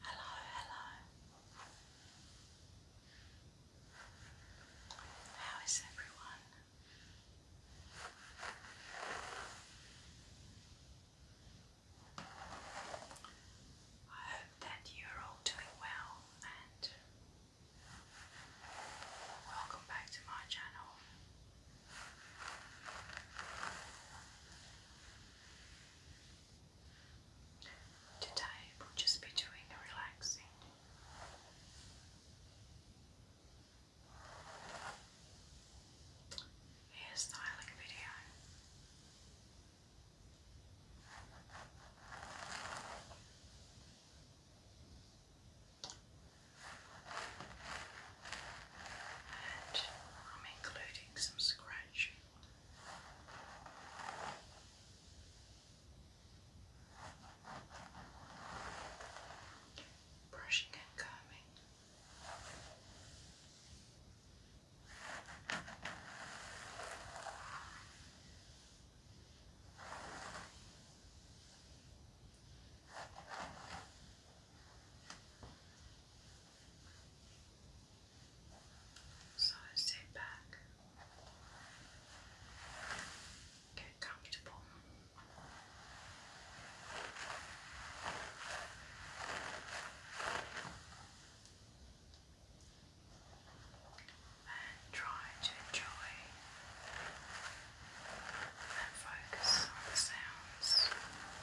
Hello, hello. How is everyone? I hope that you're all doing well and Welcome back to my channel. Today we'll just be doing a relaxing. Hairstyling video. And I'm including some scratching. Brushing and combing. So sit back, get comfortable and try to enjoy and focus on the sounds. Now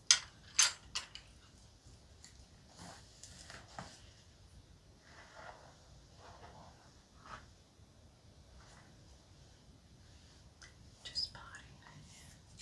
Just potting it.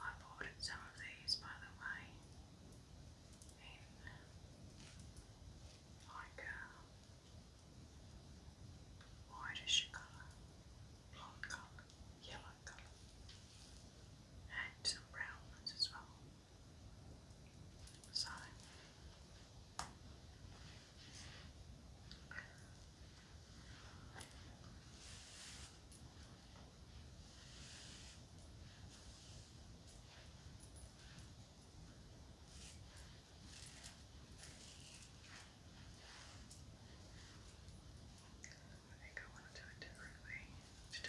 I ordered some of these, by the way, in like a uh, whitish colour, blonde colour, yellow lilac colour and some brown as well. So I think I want to do it differently today.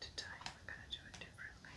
Today we're going to do it differently.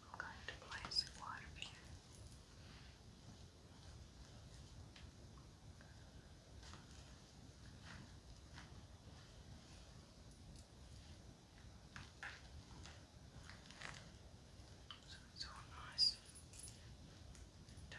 I'm going to place water here. Okay. So it's all nice and tight.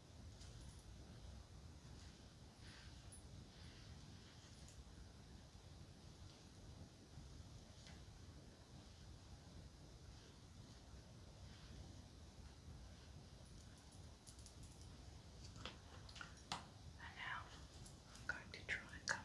And now I'm going to try and cover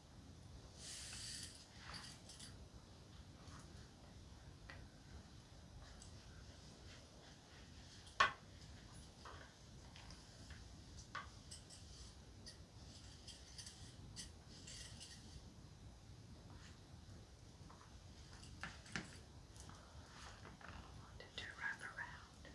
I wanted to wrap around.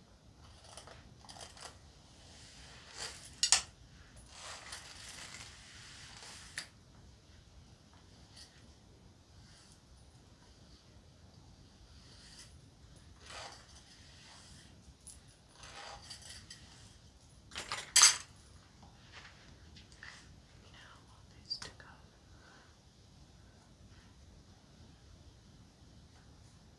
Now I want these to go. There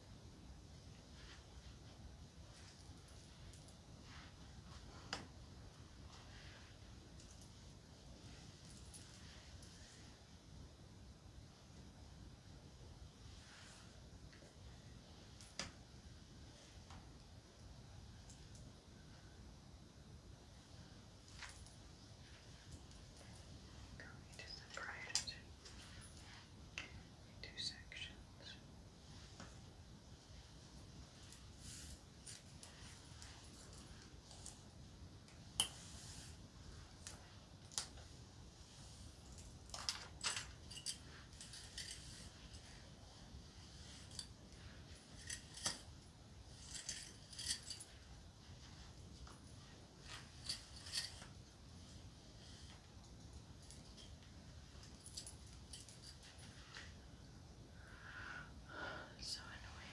Going to the two sections. So annoying.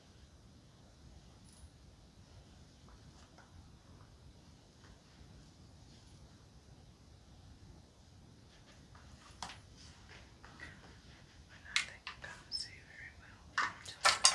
And I think I can't see very well from but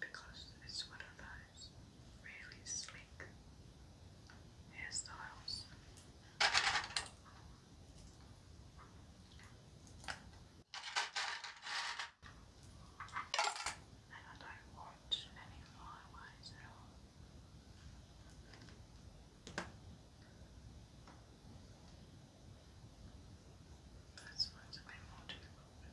because it's one of those really slick hairstyles. And I don't want any flyaways at all. This one's a bit more difficult. There.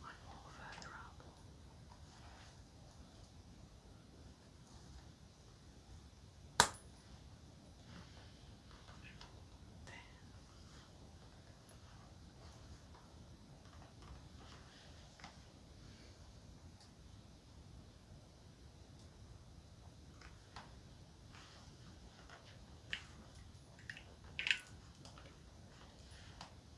one more further up. There.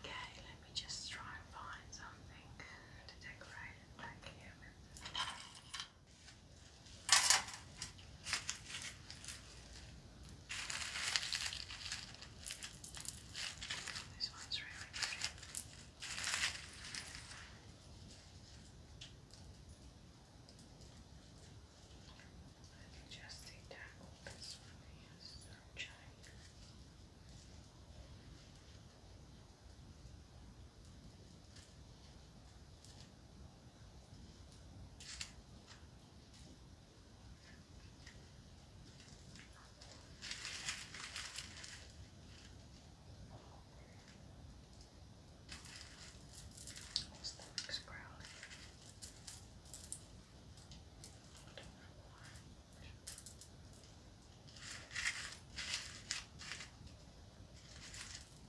Okay, let me just try and find something to decorate back here this one's really pretty. Let me just see that this one is sunshine. This my stomach's growling. I don't know why. I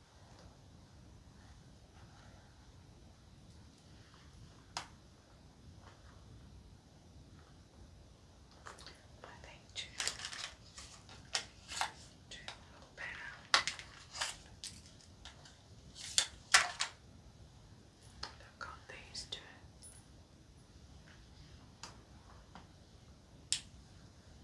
I think two, two better. I've these two.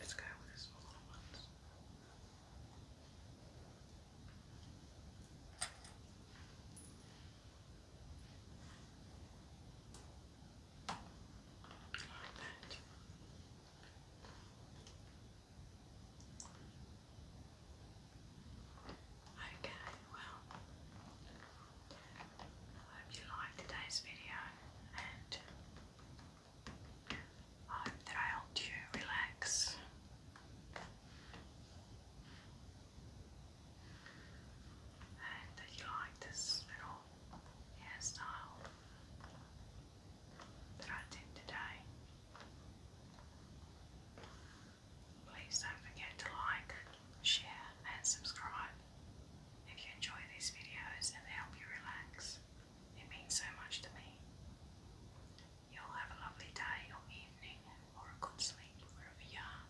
It's kind of one of those ones. Like that. Okay, well, I hope you liked today's video and I hope that I helped you relax. And that you like this little hairstyle that I did today. Please don't forget to like, share, and subscribe. If you enjoy these videos and they help you relax, it means so much to me. You'll have a lovely day or evening or a good sleep wherever you are.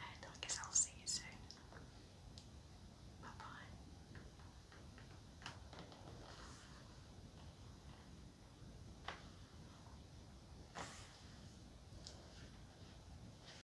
And I guess I'll see you soon. Bye bye.